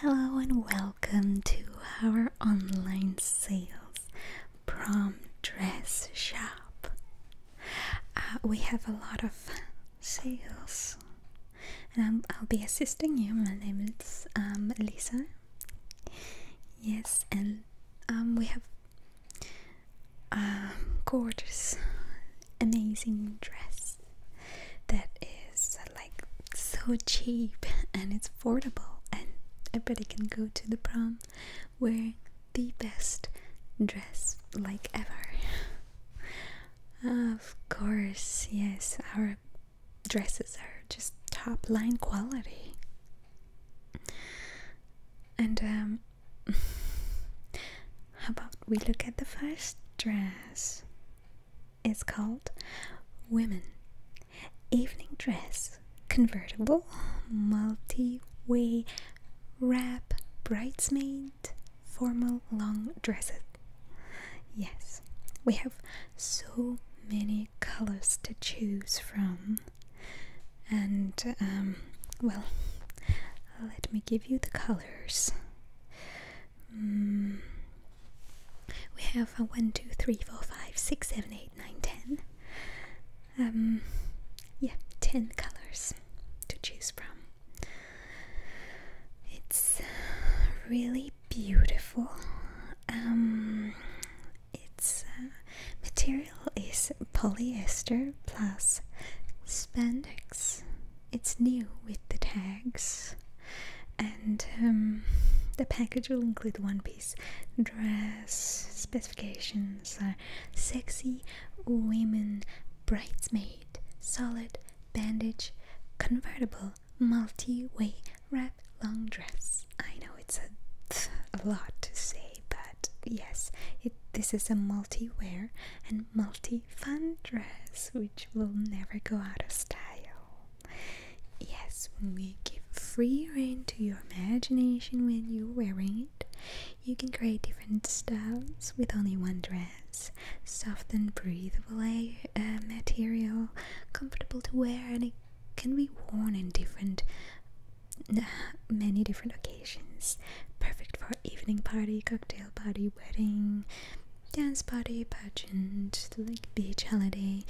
Hello and welcome to our online sales prom dress shop. Uh, we have a lot of sales, and i will be assisting you. My name is um, Lisa. Yes, and um, we have um, gorgeous, amazing dress that is like so cheap and it's affordable and everybody can go to the prom wearing the best dress like ever. Of course, yes, our dresses are just top line quality. And um how about we look at the first dress? It's called Women Evening Dress Convertible Multi Way Wrap Bridesmaid Formal Long dress. Yes, we have so many colors to choose from. And, um, well, let me give you the colors. Mm. We have a 1, 2, 3, 4, 5, 6, 7, 8, 9, 10. Um, yeah, 10 colors to choose from. It's really beautiful. Um, its uh, material is polyester plus spandex it's new with the tags and um, the package will include one piece dress specifications are uh, sexy women bridesmaid solid bandage convertible multi-way wrap long dress i know it's a, a lot to say but yes it, this is a multi-wear and multi-fun dress which will never go out of style. Yes, when we give free rein to your imagination when you're wearing it, you can create different styles with only one dress. Soft and breathable uh, material, comfortable to wear and it can be worn in different many different occasions perfect for evening party cocktail party wedding dance party, pageant, like beach holiday,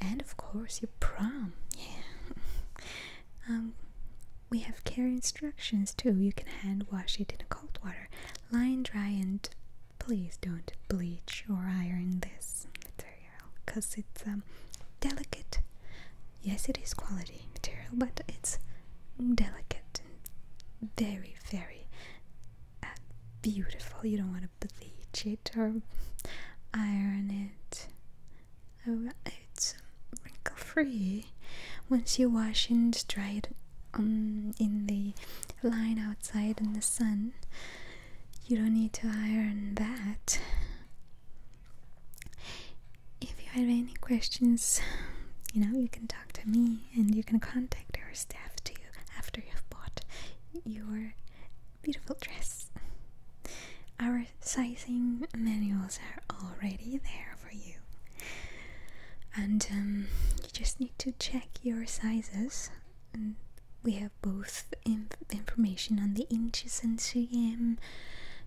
and of course your prom. Yeah. um, we have care instructions too. You can hand wash it in cold water, line dry, and please don't bleach or iron this material because it's um, delicate. Yes, it is quality material, but it's delicate and very, very very uh, beautiful. You don't want to bleach it or iron it. Oh, it's wrinkle free. Once you wash and dry it um, in the line outside in the sun, you don't need to iron that. If you have any questions, you know, you can talk to me and you can contact our staff too after you've bought your beautiful dress. Our sizing manuals are already there for you, and um, you just need to check your sizes. Mm, we have both information on the inches and cm,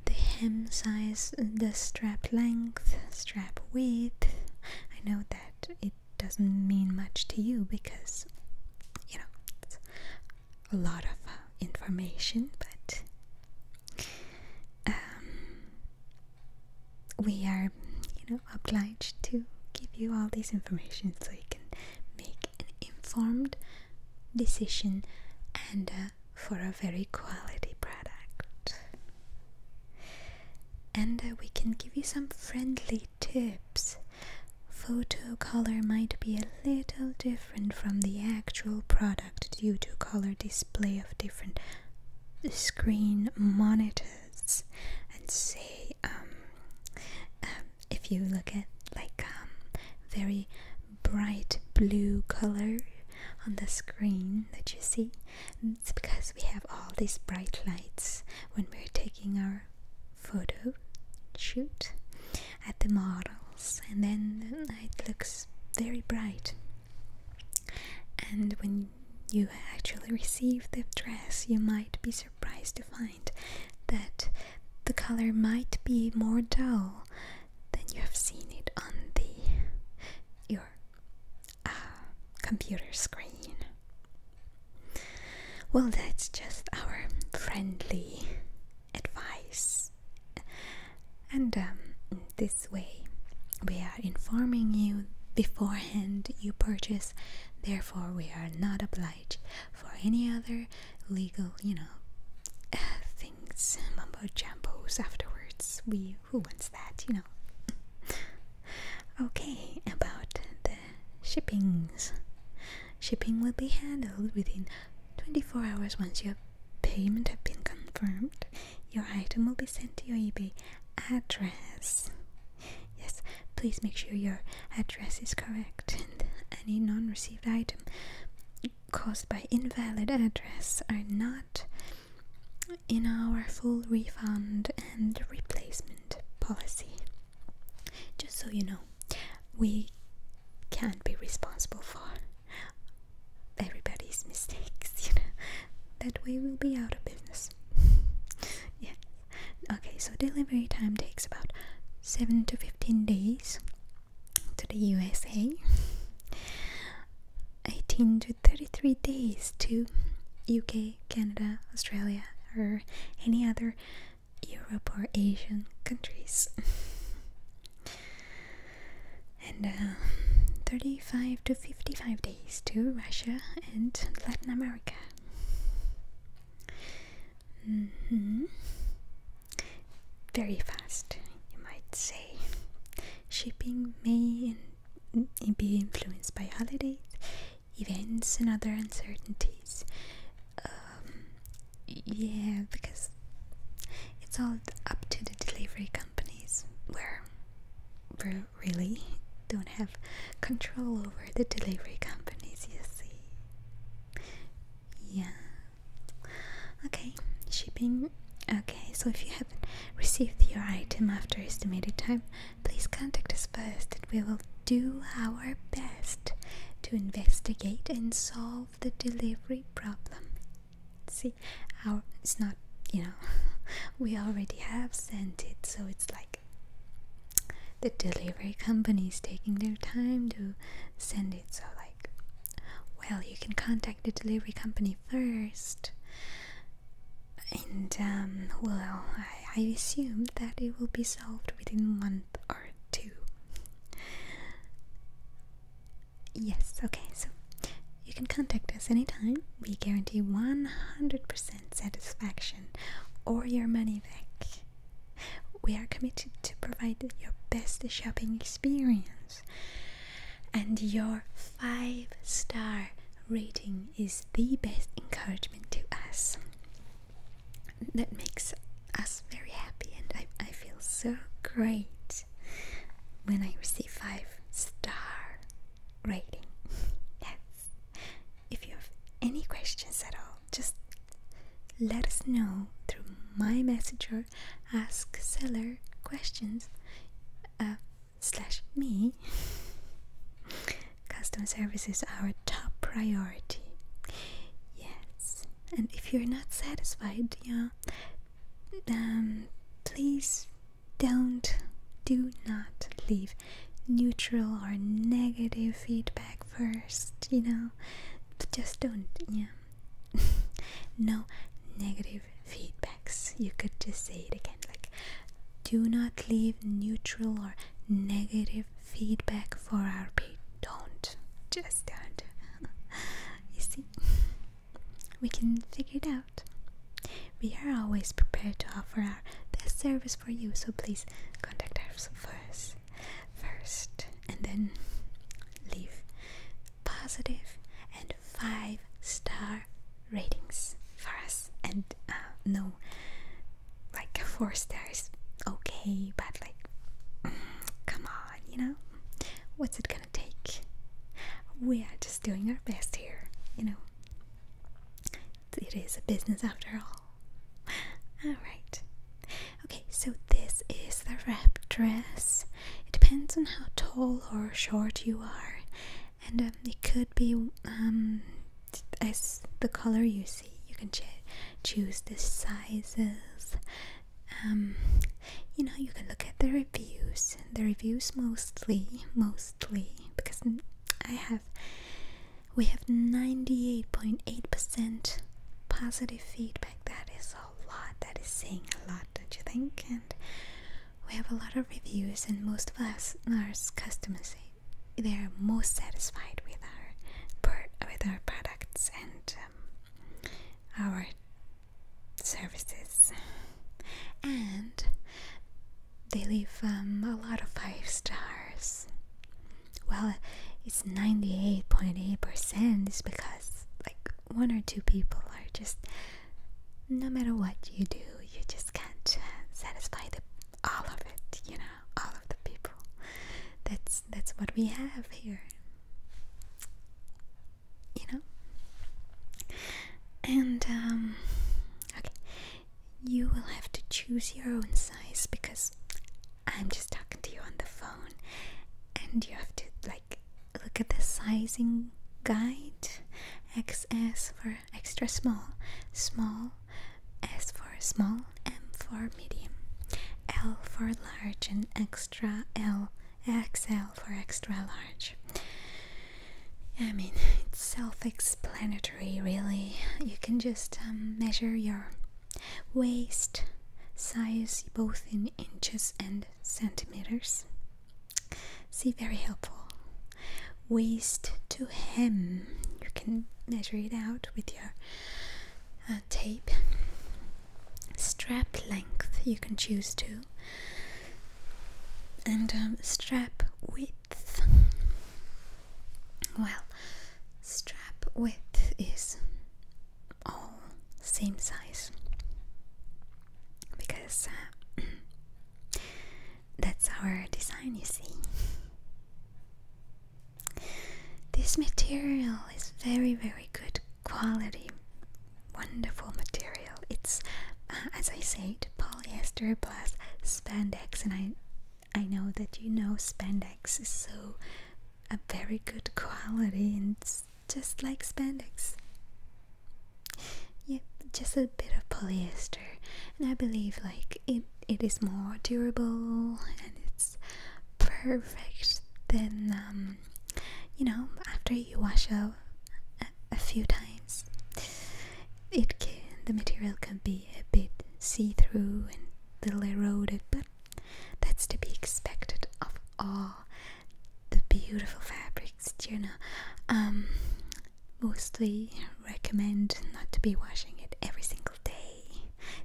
the hem size, the strap length, strap width. I know that it doesn't mean much to you because you know a lot of uh, information, but um, we are you know obliged to give you all this information so you can make an informed decision and uh, for a very quality product. And uh, we can give you some friendly tips. Photo color might be a little different from the actual product due to color display of different screen monitors. And say, um, um if you look at like um, very bright blue color on the screen that you see, it's because we have all these bright lights when we're taking our photo shoot at the models and then it looks very bright and when you actually receive the dress you might be surprised to find that the color might be more dull than you have seen it on the your a computer screen. Well, that's just our friendly advice, and um, this way we are informing you beforehand you purchase, therefore, we are not obliged for any other legal, you know, uh, things, mumbo jumbos afterwards. We who wants that, you know? okay, about the shippings. Shipping will be handled within 24 hours once your payment have been confirmed. Your item will be sent to your eBay address. Yes, please make sure your address is correct any non-received item caused by invalid address are not in our full refund and replacement policy. Just so you know, we can't be responsible for everybody's mistakes, you know. That way we'll be out of business. yeah. Okay, so delivery time takes about 7 to 15 days to the USA. 18 to 33 days to UK, Canada, Australia, or any other Europe or Asian countries. and uh, 35 to 55 days to Russia and Latin America. Mm-hmm. Very fast, you might say. Shipping may be influenced by holidays, events, and other uncertainties. Um, yeah, because it's all up to the delivery companies where we really don't have control over the delivery companies, you see. Yeah. Okay, shipping. Okay, so if you have received your item after estimated time, please contact us first and we will do our best to investigate and solve the delivery problem. See, our it's not, you know, we already have sent it, so it's like the delivery company is taking their time to send it, so like, well, you can contact the delivery company first and um, well, I, I assume that it will be solved within a month or two. Yes, okay, so you can contact us anytime. We guarantee 100% satisfaction or your money back. We are committed to provide your best shopping experience and your five star rating is the best encouragement to us. That makes us very happy, and I, I feel so great when I receive five star rating. If you have any questions at all, just let us know through my messenger. Ask seller questions. Uh, slash me, customer service is our top priority. Yes, and if you're not satisfied, yeah, um, please don't, do not leave neutral or negative feedback first, you know, just don't, yeah. no negative feedbacks. You could just say it again like, do not leave neutral or negative feedback for our page. Don't. Just don't. you see, we can figure it out. We are always prepared to offer our best service for you, so please contact us first, first, and then leave positive and five star ratings for us and uh, no like four stars okay but like come on you know what's it gonna take we are just doing our best here you know it is a business after all all right okay so this is the wrap dress it depends on how tall or short you are and um, it could be um, as the color you see you can choose the sizes um, you know you can look at the reviews the reviews mostly mostly because I have we have 98.8% positive feedback that is a lot that is saying a lot don't you think and we have a lot of reviews, and most of us, are customers, they are most satisfied with our with our products and um, our services, and they leave um, a lot of five stars. Well, it's ninety eight point eight percent is because like one or two people are just no matter what you do, you just can't uh, satisfy all of it, you know, all of the people. That's that's what we have here. You know? And um okay. You will have to choose your own size because I'm just talking to you on the phone and you have to like look at the sizing guide XS for extra small, small, S for small, M for medium, L for large, and extra L, XL for extra large. I mean, it's self explanatory, really. You can just um, measure your waist size both in inches and centimeters. See, very helpful. Waist to hem. You can measure it out with your uh, tape. Strap length you can choose to. And um, strap width. Well, strap width is all same size because uh, That's our design, you see. This material is very, very good quality. Wonderful material. It's, uh, as I say, polyester plus spandex, and I, I know that you know spandex is so a very good quality and just like spandex. Yep, just a bit of polyester, and I believe like it it is more durable and it's perfect than um, you know after you wash out a, few times. It can the material can be a bit see through and little eroded, but that's to be expected of all the beautiful fabric tricks, Tuna. Um, mostly recommend not to be washing it every single day.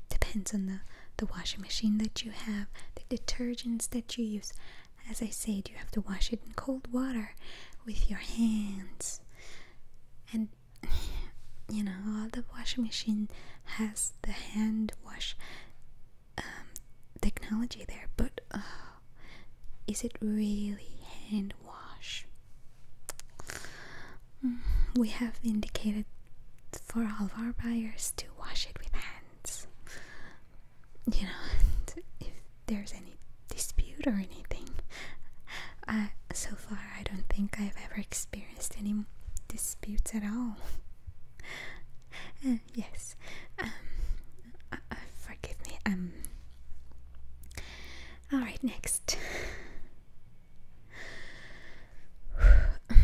Depends on the, the washing machine that you have, the detergents that you use. As I said, you have to wash it in cold water with your hands. And you know, all the washing machine has the hand wash um, technology there, but. Uh, is it really hand wash? Mm, we have indicated for all of our buyers to wash it with hands. You know, if there's any dispute or anything. so far, I don't think I've ever experienced any disputes at all. Uh, yes, um, forgive me. Um. All right, next. okay.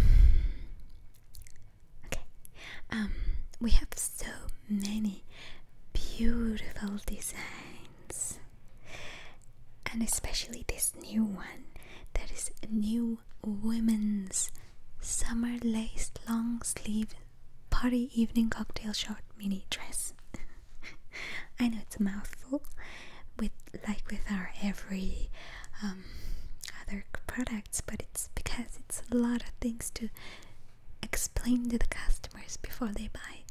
Um, we have so many beautiful designs, and especially this new one that is a new women's summer laced long sleeve party evening cocktail short mini dress. I know it's a mouthful, with like with our every um, other products, but it's because it's a lot of things to explain to the customers before they buy.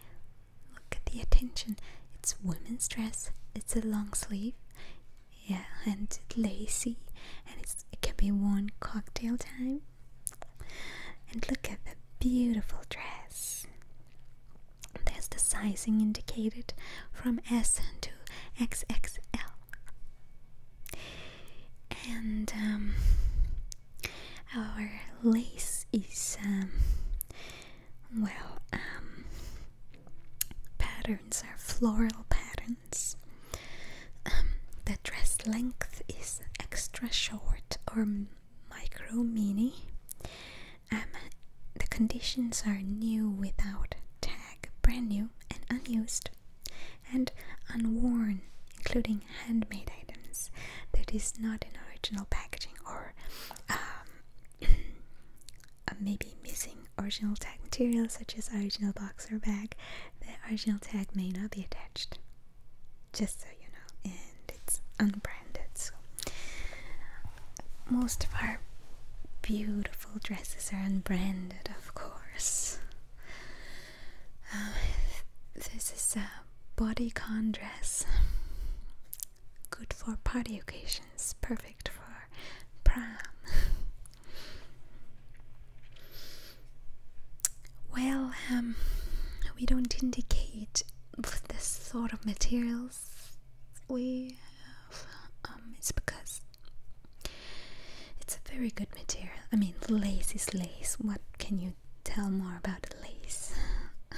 Look at the attention. It's women's dress. It's a long sleeve, yeah, and lacy, and it can be worn cocktail time. And look at the beautiful dress. There's the sizing indicated from S to XXL. And um, our lace is, um, well, um, patterns are floral patterns. Um, the dress length is extra short or micro mini. Um, the conditions are new without tag, brand new and unused, and unworn, including handmade items that is not in original packaging or um, uh, maybe missing original tag material such as original box or bag. The original tag may not be attached just so you know, and it's unbranded. So most of our beautiful dresses are unbranded, of course. Uh, this is a bodycon dress, good for party occasions, perfect for prom. Well, um, we don't indicate this sort of materials we um, it's because it's a very good material. I mean, lace is lace. What can you tell more about lace?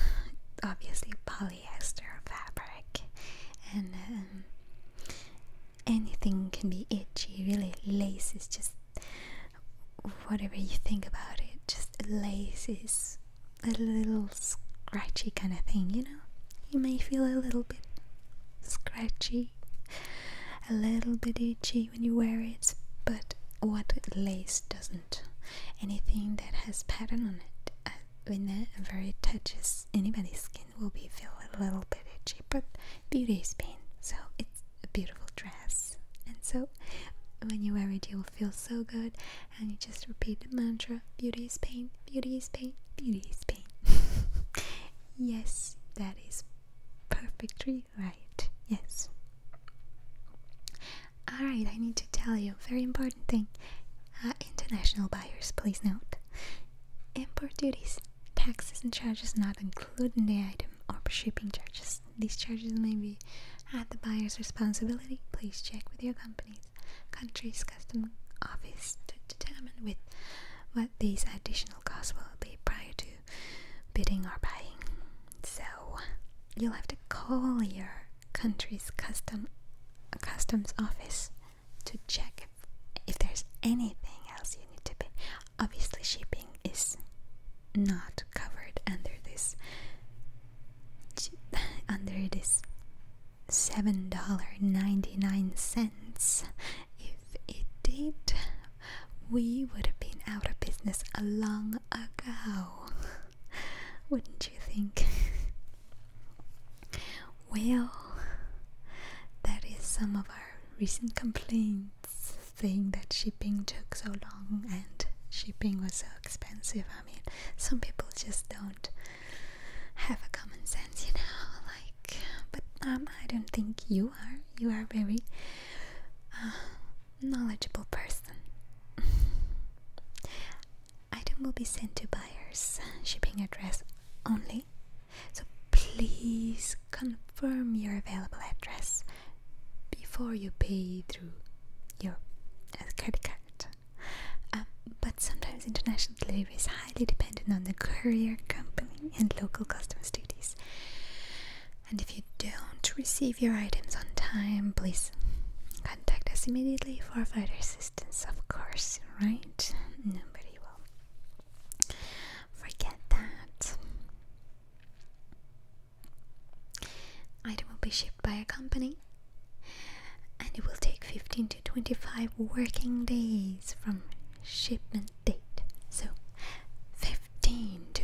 Obviously, polyester fabric, and um, anything can be itchy. Really, lace is just whatever you think about it, just lace is a little scratchy kind of thing, you know? You may feel a little bit scratchy, a little bit itchy when you wear it, but what lace doesn't? Anything that has pattern on it, when uh, it very touches anybody's skin, will be feel a little bit itchy. But beauty is pain, so it's a beautiful dress. And so, when you wear it, you will feel so good. And you just repeat the mantra beauty is pain, beauty is pain, beauty is pain. yes, that is perfectly right. Yes. Alright, I need to tell you a very important thing. Uh, international buyers, please note. Import duties, taxes and charges not included in the item, or shipping charges these charges may be at the buyer's responsibility. Please check with your company's country's customs office to determine what these additional costs will be prior to bidding or buying. So you'll have to call your country's uh, customs office to check if there's anything else you need to pay obviously shipping is not covered under this under this seven dollar ninety nine cents if it did we would have been out of business a long ago wouldn't you think well that is some of our recent complaints thing that shipping took so long and shipping was so expensive. I mean, some people just don't have a common sense, you know, like, but um, I don't think you are. You are very uh, knowledgeable person. Item will be sent to buyers, shipping address only. So please confirm your available address before you pay through your uh, credit card. Um, but sometimes international delivery is highly dependent on the courier company and local customs duties. And if you don't receive your items on time, please contact us immediately for further assistance, of course, right? Nobody will forget that. Item will be shipped by a company and it will take 15 to 25 working days from shipment date. So 15 to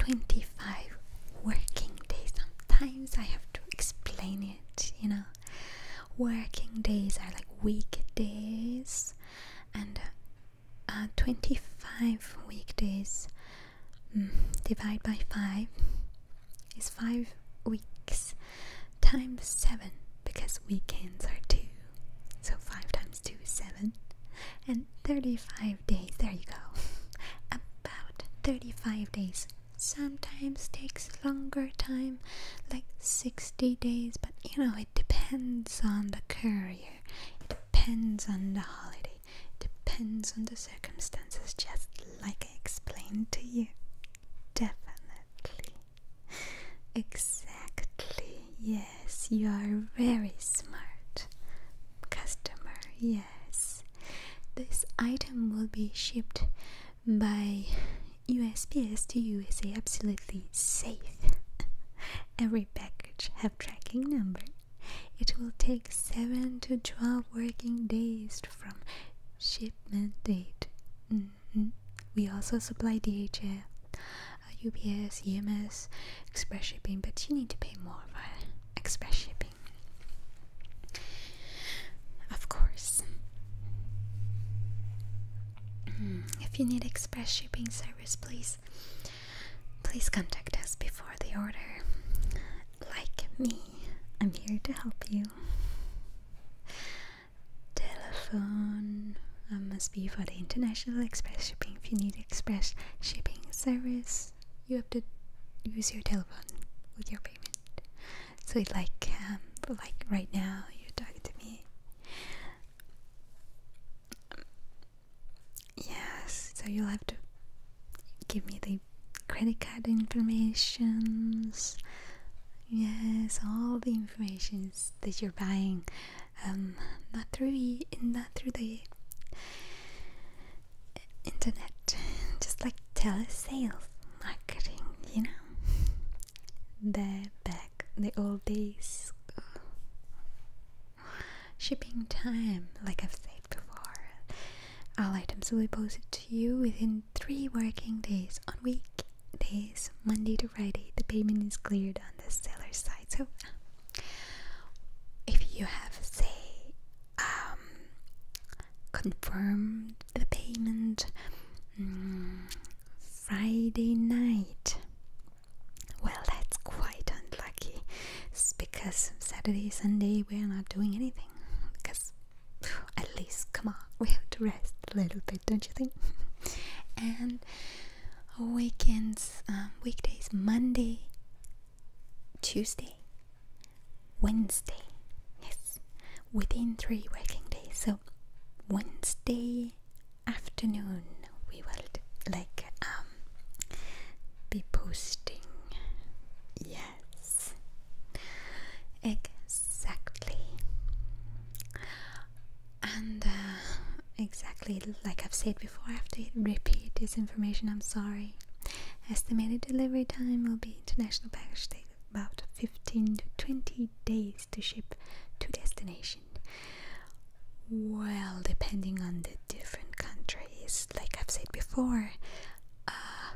25 working days. Sometimes I have to explain it, you know. Working days are like weekdays and uh, uh, 25 weekdays mm, divided by 5 is 5 weeks times 7 because weekends are 2 so 5 times 2 is 7 and 35 days there you go about 35 days sometimes takes longer time like 60 days but you know it depends on the curve it depends on the holiday, depends on the circumstances, just like I explained to you. Definitely. Exactly. Yes, you are very smart. Customer, yes. This item will be shipped by USPS to USA absolutely safe. Every package have tracking number. It will take 7 to 12 working days from shipment date. Mm-hmm. We also supply DHL, UPS, EMS, express shipping, but you need to pay more for express shipping. Of course. Hmm. if you need express shipping service, please Please contact us before the order. Like me, I'm here to help you. Telephone um, must be for the international express shipping. If you need express shipping service, you have to use your telephone with your payment. So, like, um, like right now, you're talking to me. Yes, so you'll have to give me the credit card information. Yes, all the information that you're buying, um, not through e not through the internet, just like telesales marketing, you know. The back, the old days. Shipping time, like I've said before. All items will be posted to you within three working days on weekdays, Monday to Friday. The payment is cleared on the seller's side. So, if you have, say, um, confirmed the payment mm, Friday night, well, that's quite unlucky. because Saturday, Sunday, we're not doing anything. Because, at least, come on, we have to rest a little bit, don't you think? and weekends, um, weekdays, Monday, Tuesday, Wednesday. Yes, within three working days. So, Wednesday, afternoon we will like um be posting yes exactly and uh, exactly like I've said before I have to repeat this information I'm sorry estimated delivery time will be international package date about 15 to 20 days to ship to destination well, depending on the different countries, like I've said before, uh,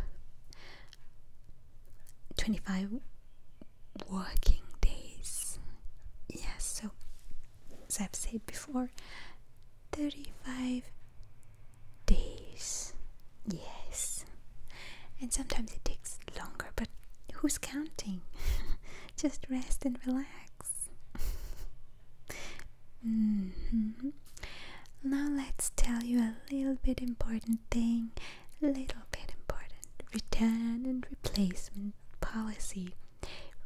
25 working days. Yes, so as I've said before, 35 days. Yes. And sometimes it takes longer, but who's counting? Just rest and relax. Mm-hmm. Now let's tell you a little bit important thing. Little bit important. Return and replacement policy.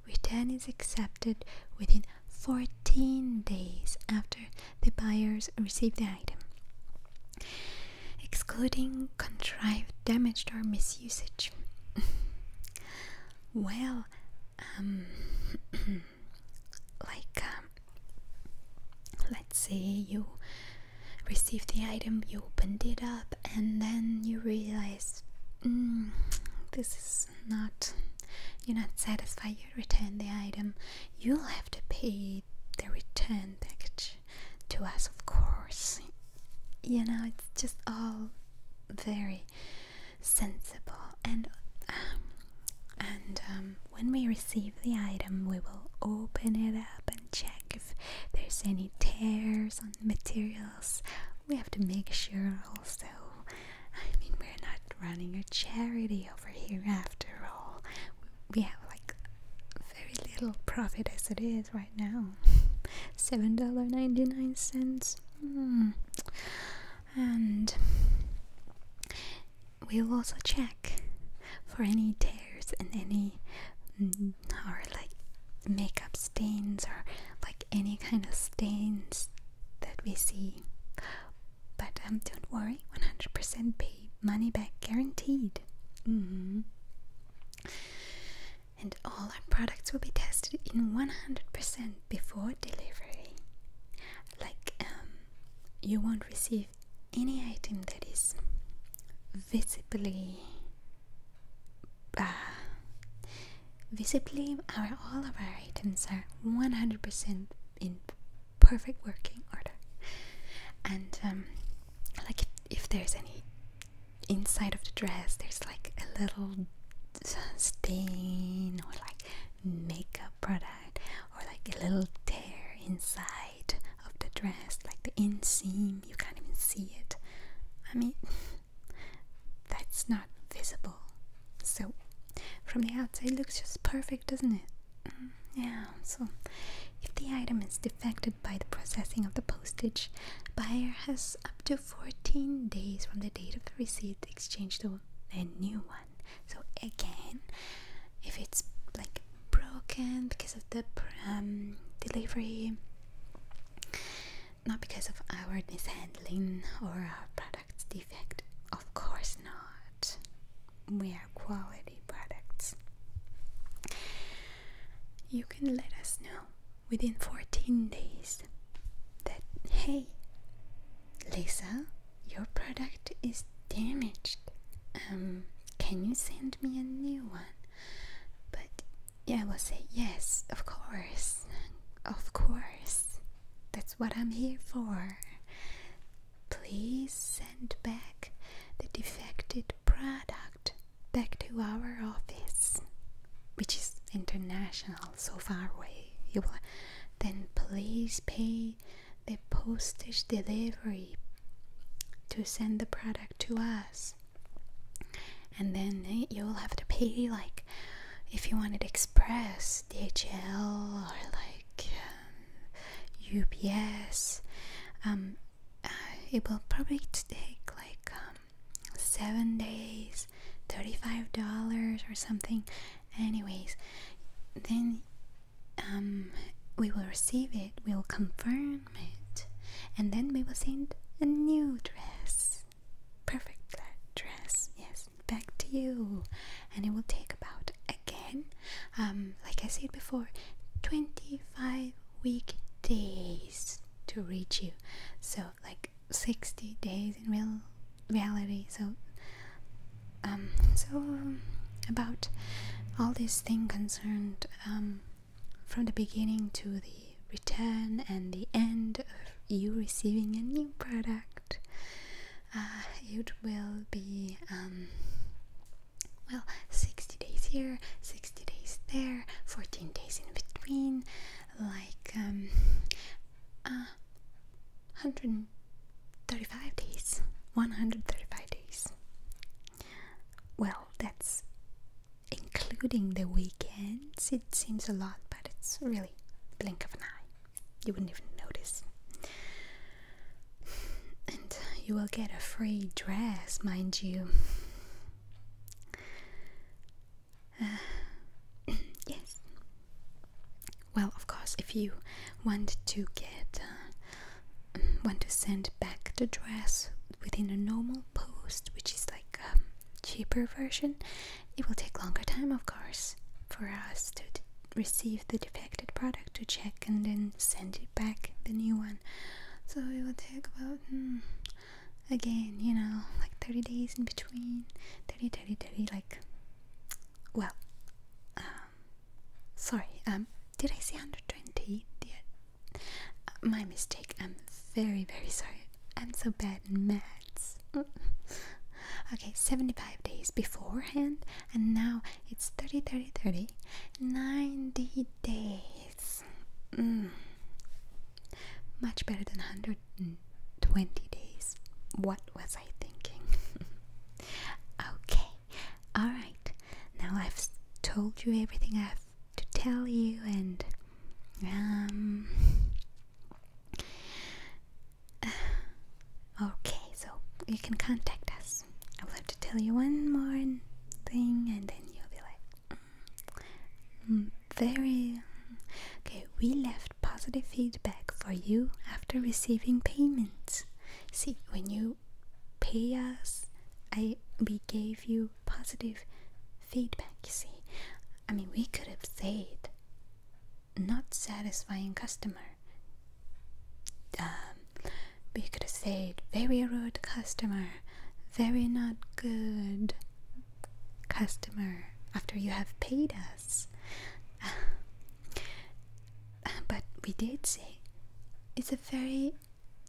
Return is accepted within 14 days after the buyers receive the item, excluding contrived, damaged, or misusage. well, um, like, um, let's say you received the item, you opened it up, and then you realize hmm, this is not, you're not satisfied, you return the item, you'll have to pay the return package to us, of course. You know, it's just all very sensible and um, and um, when we receive the item we will open it up and check if there's any tears on the materials we have to make sure also I mean we're not running a charity over here after all we have like very little profit as it is right now $7.99 Hmm. And we will also check for any tears and any mm, or like makeup stains or like any kind of stains that we see. But um, don't worry, 100% pay money back guaranteed. Mm-hmm and all our products will be tested in 100% before delivery. Like, um, you won't receive any item that is visibly, uh, visibly, our all of our items are 100% in perfect working order. And um, like, if there's any inside of the dress there's like a little stain or like makeup product or like a little tear inside of the dress like the inseam you can't even see it i mean that's not visible so from the outside looks just perfect doesn't it mm, yeah so if the item is defected by the processing of the postage buyer has up to 14 days from the date of the receipt exchange to a new one. So again, if it's like broken because of the um, delivery, not because of our mishandling or our product's defect, of course not. We are quality products. You can let us know within 14 days that hey, Lisa, your product is damaged. Um, can you send me a new one? But yeah, I will say yes, of course, of course. That's what I'm here for. Please send back the defective product back to our office, which is international so far away you will then please pay the postage delivery to send the product to us and then eh, you'll have to pay like if you wanted express dhl or like um, ups um, uh, it will probably take like um, seven days, $35 or something. Anyways, then um, we will receive it, we will confirm it, and then we will send a new dress. Perfect dress, yes, back to you. And it will take about, again, um, like I said before, 25 week days to reach you. So, like 60 days in real reality so um so about all this thing concerned um, from the beginning to the return and the end of you receiving a new product uh, it will be um, well 60 days here 60 days there 14 days in between like um, 135 uh, days 135 days well that's including the weekends it seems a lot but it's really blink of an eye you wouldn't even notice and you will get a free dress mind you yes. Well, of course, if you want to get, uh, mm, want to send back the dress within a normal post, which is like a cheaper version, it will take longer time, of course, for us to receive the defective product to check and then send it back the new one. So it will take about. Hmm, again, you know, like 30 days in between, 30, 30, 30, like, well, um, sorry, um, did I say 120? Did uh, my mistake, I'm very, very sorry, I'm so bad in maths. okay, 75 days beforehand, and now it's 30, 30, 30, 90 days. Mm. Much better than 120 days. What was I thinking? okay, alright. Now I've told you everything I have to tell you, and um. Okay, so you can contact us. I will have to tell you one more thing, and then you'll be like, very okay. We left positive feedback for you after receiving payments. See, when you pay us, I we gave you positive feedback. You see, I mean, we could have said not satisfying customer. Um, we could have said very rude customer, very not good customer after you have paid us. but we did say it's a very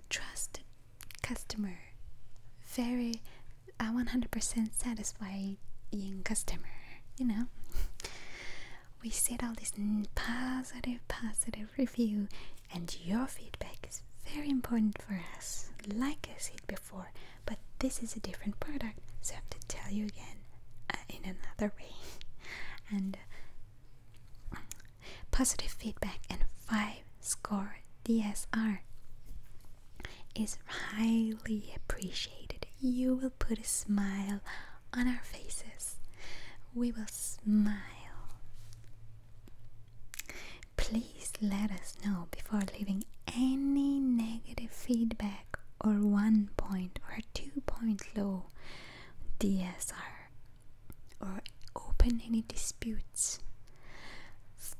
trusted customer, very a 100% satisfying customer, you know. we said all this positive, positive review, and your feedback is very important for us. Like I said before but this is a different product, so I have to tell you again uh, in another way. and uh, positive feedback and 5 score DSR is highly appreciated. You will put a smile on our faces. We will smile. Please let us know before leaving any negative feedback or one point or two point low DSR or open any disputes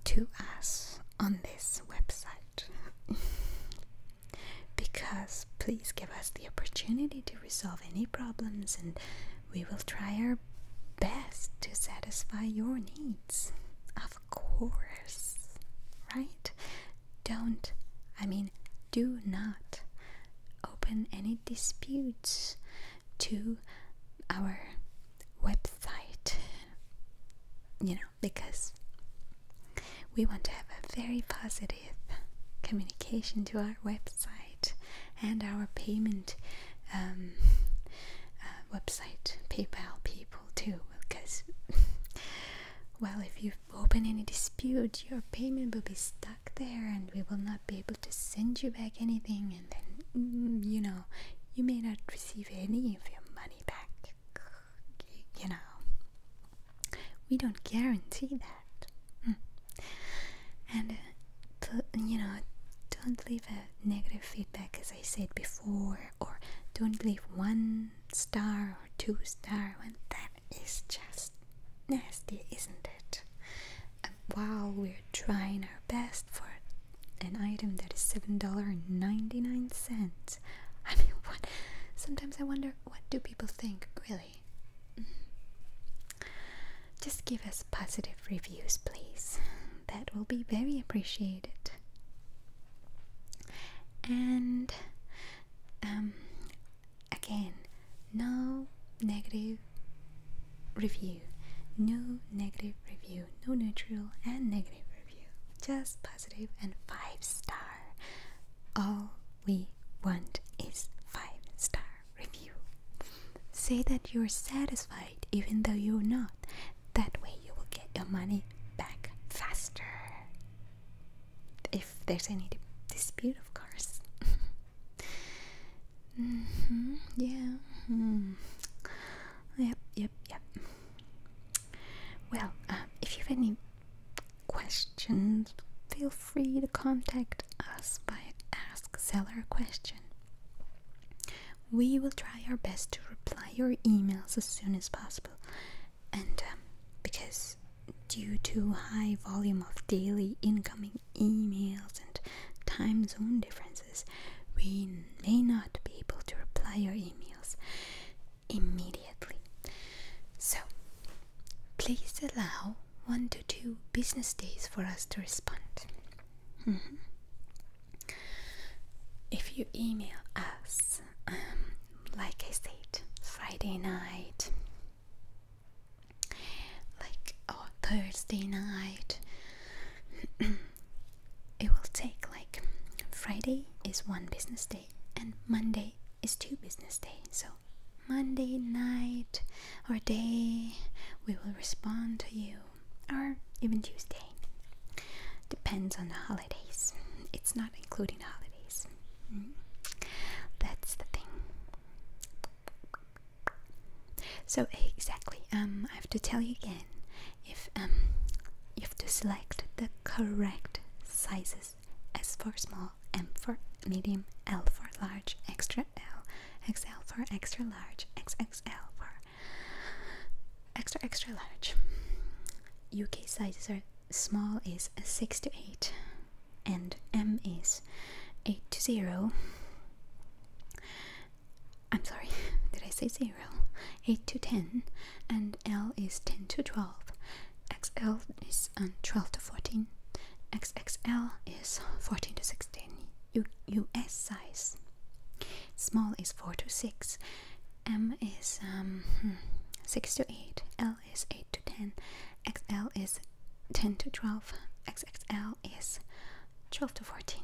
to us on this website. because please give us the opportunity to resolve any problems and we will try our best to satisfy your needs. Of course, right? Don't, I mean, do not open any disputes to our website, you know, because we want to have a very positive communication to our website and our payment um, uh, website PayPal people too because well if you open any dispute your payment will be stuck there and we will not be able to send you back anything and then mm, you know you may not receive any of your money back you know we don't guarantee that mm. and uh, you know don't leave a negative feedback as I said before, or don't leave one star or two star when that is just nasty, isn't it? while we're trying our best for an item that is $7.99, I mean, what? Sometimes I wonder what do people think, really? Mm. Just give us positive reviews, please that will be very appreciated. And um, again, no negative review, no negative review, no neutral and negative review, just positive and five star. All we want is five star review. Say that you're satisfied even though you're not. That way, you will get your money back faster. If there's any dispute, of course. Mm-hmm, yeah. Hmm. Yep, yep, yep. Well, uh, if you have any questions, feel free to contact us by Ask Seller Question. We will try our best to reply your emails as soon as possible. And um, because due to high volume of daily incoming emails and time zone differences, we may not be able to reply your emails immediately. So, please allow one to two business days for us to respond. Mm-hmm. If you email us, um, like I said, Friday night, like or Thursday night, it will take like Friday is one business day and Monday is two business day. So Monday night or day, we will respond to you or even Tuesday. Depends on the holidays. It's not including holidays. Mm. That's the thing. So exactly, um, I have to tell you again. If um, you have to select the correct sizes: S for small, M for medium, L for large, extra L, XL for extra large, XXL for extra extra large. UK sizes are small is 6 to 8 and M is 8 to 0. I'm sorry, did I say 0? 8 to 10 and L is 10 to 12. XL is um, 12 to 14. XXL is 14 to 16 US size. Small is 4 to 6, M is um, hmm, 6 to 8, L is 8 to 10, XL is 10 to 12, XXL is 12 to 14.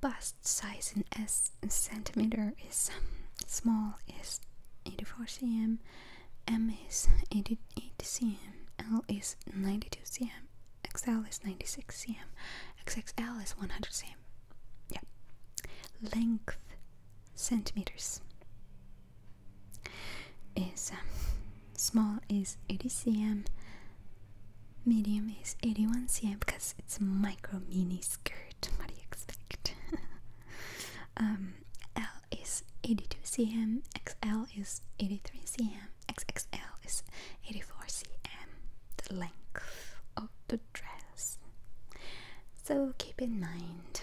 Bust size in S centimeter is um, small is 84 cm, M is 88 cm, L is 92 cm, XL is 96 cm, XXL is 100 cm. Yeah. Length centimeters is um, small is 80 cm, medium is 81 cm because it's micro mini skirt. What do you expect? um, L is 82 cm, XL is 83 cm. XXL is 84 cm, the length of the dress. So keep in mind,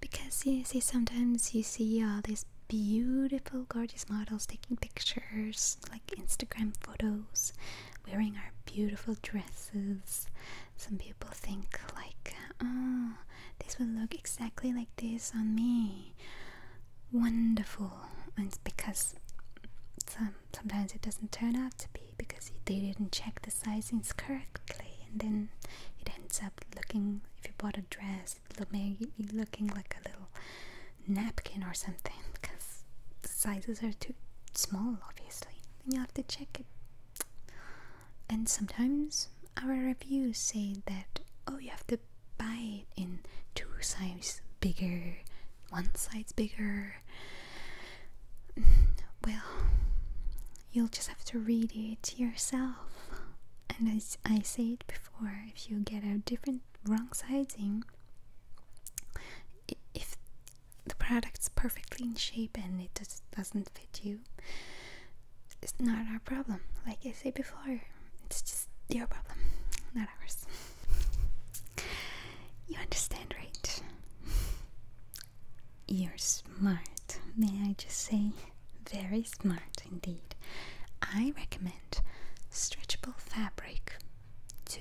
because you see sometimes you see all uh, these beautiful, gorgeous models taking pictures, like Instagram photos, wearing our beautiful dresses. Some people think like, oh, this will look exactly like this on me wonderful. It's because some, sometimes it doesn't turn out to be because they didn't check the sizings correctly, and then it ends up looking. If you bought a dress, it may be looking like a little napkin or something because the sizes are too small, obviously. And you have to check it. And sometimes our reviews say that oh, you have to could buy it in two sizes bigger, one size bigger. Mm, well, you'll just have to read it yourself. And as I said before, if you get a different wrong sizing, if the product's perfectly in shape and it just doesn't fit you, it's not our problem. Like I said before, it's just your problem, not ours. You understand, right? You're smart, may I just say? Very smart indeed. I recommend stretchable fabric to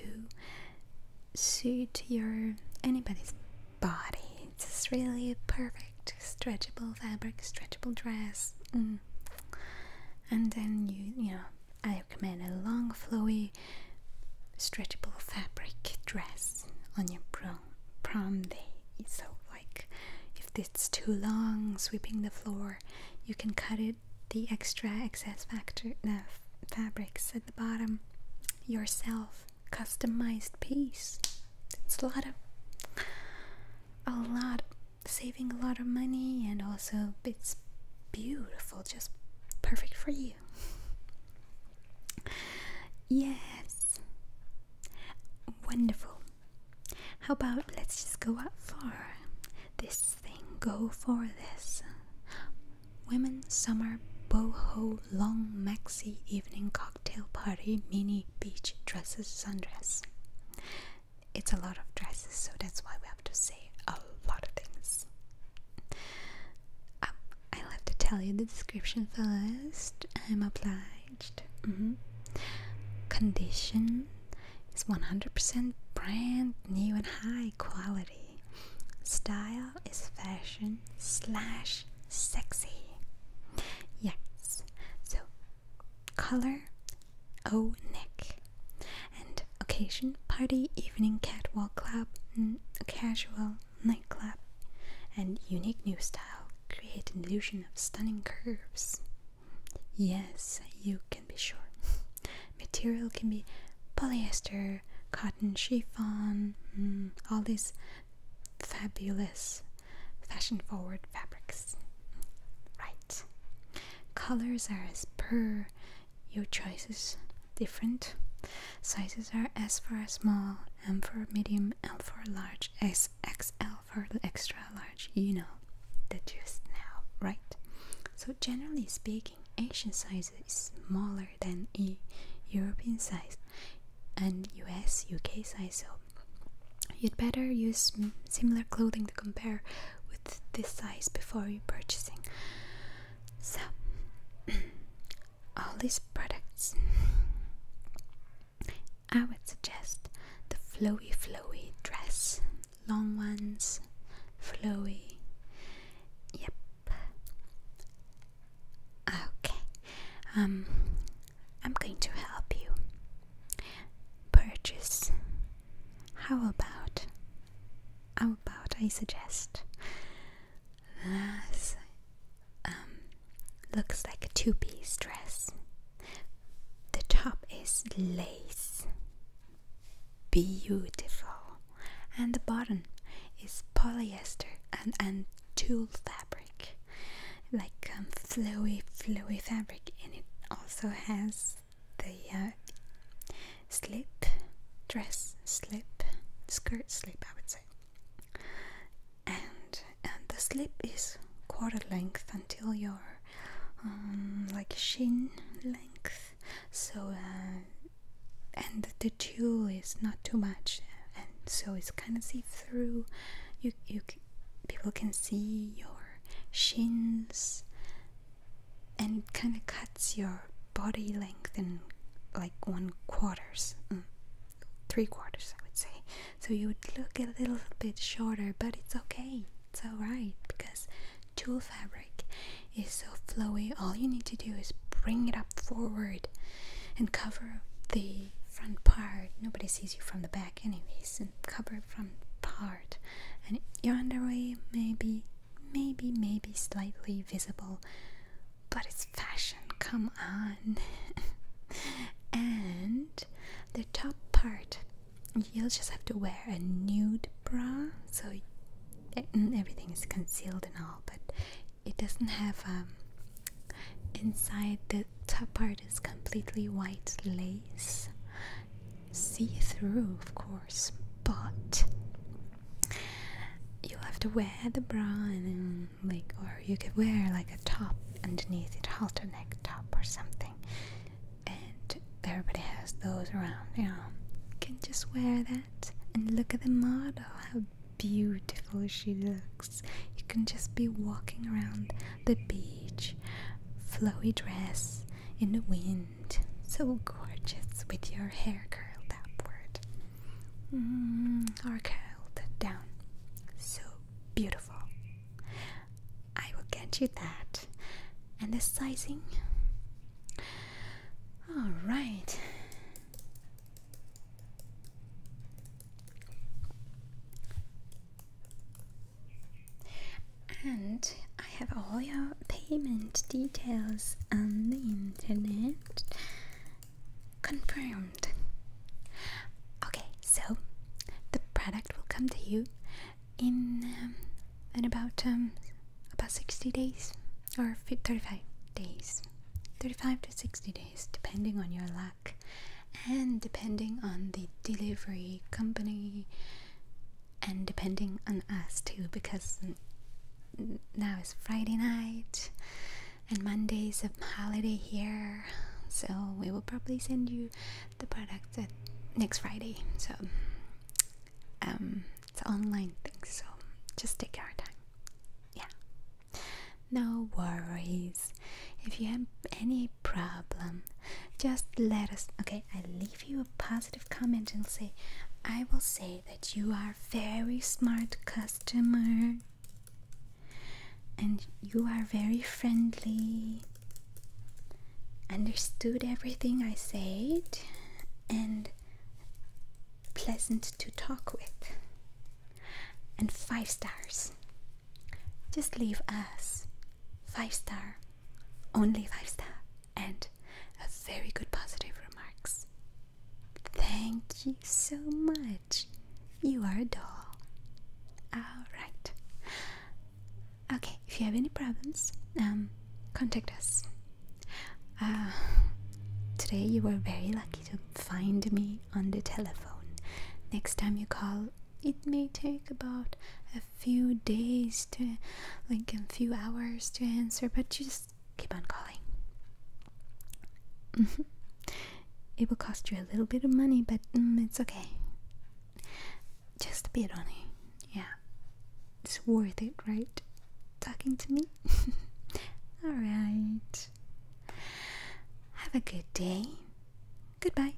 suit your anybody's body. It's really perfect stretchable fabric, stretchable dress. Mm. And then you, you know, I recommend a long, flowy, stretchable fabric dress on your prom, prom day. So, like, if it's too long, sweeping the floor, you can cut it the extra excess factor, no, uh, fabrics at the bottom yourself. Customized piece. It's a lot of a lot saving a lot of money and also it's beautiful, just perfect for you. yes, wonderful. How about let's just go out for this thing? Go for this. Women Summer Boho Long Maxi Evening Cocktail Party Mini Beach Dresses Sundress it's a lot of dresses, so that's why we have to say a lot of things. Um, i have to tell you the description first. I'm obliged. Mm-hmm. Condition is 100% brand new and high quality. Style is fashion slash sexy. Yes. So, color O oh, Nick. And occasion party, evening catwalk club, casual nightclub, and unique new style create an illusion of stunning curves. Yes, you can be sure. Material can be polyester, cotton, chiffon, mm, all these fabulous fashion forward fabrics. Right. Colors are as per your choices different. Sizes are S for small, M for medium, L for large, SXL XL for extra large. You know the just now, right? So generally speaking, Asian sizes is smaller than e European size and US UK size. So you'd better use similar clothing to compare with this size before you purchasing. So all these products I would suggest the flowy flowy dress. Long ones, flowy. Yep. Okay. Um I'm going to help you purchase. How about? How about I suggest? This um, looks like a two-piece dress. The top is lace, beautiful, and the bottom is polyester and and tulle fabric, like um, flowy, flowy fabric, and it also has the uh, slip, dress slip, skirt slip, I would say. And, and the slip is quarter length until your um, like shin length. So, uh, and the jewel is not too much, and so it's kind of see through. You, you people can see your shins and it kind of cuts your body length in like one quarters mm, three quarters i would say so you would look a little bit shorter but it's okay it's alright because tulle fabric is so flowy all you need to do is bring it up forward and cover the front part nobody sees you from the back anyways and cover upper front part and your underway maybe, maybe, maybe slightly visible but it's fashion, come on and the top part you'll just have to wear a nude bra so eh, everything is concealed and all but it doesn't have um inside the top part is completely white lace see through, of course, but you will have to wear the bra and like, or you could wear like a top underneath it, halter neck top or something. And everybody has those around, you know. can just wear that and look at the model, how beautiful she looks. You can just be walking around the beach, flowy dress in the wind so gorgeous with your hair curled upward mm, or curled down. So beautiful. I will get you that. And the sizing? Alright and I have all your payment details on the internet confirmed. Okay, so the product will come to you in um, in about um about 60 days or 35 days 35 to 60 days depending on your luck and depending on the delivery company and depending on us too, because now it's Friday night and Monday's a holiday here, so we will probably send you the product next Friday. So um, it's online thing, so just take our time. Yeah, no worries. If you have any problem, just let us. Okay, I leave you a positive comment and say, I will say that you are very smart customer and you are very friendly. Understood everything I said and pleasant to talk with. And five stars. Just leave us five star, only five star, and a very good positive remarks. Thank you so much. You are a doll. Alright. Okay, if you have any problems, um, contact us. Uh, today you were very lucky to find me on the telephone. Next time you call, it may take about a few days to like a few hours to answer but just keep on calling mm-hmm. it will cost you a little bit of money but mm, it's okay just a bit only yeah it's worth it right talking to me all right have a good day goodbye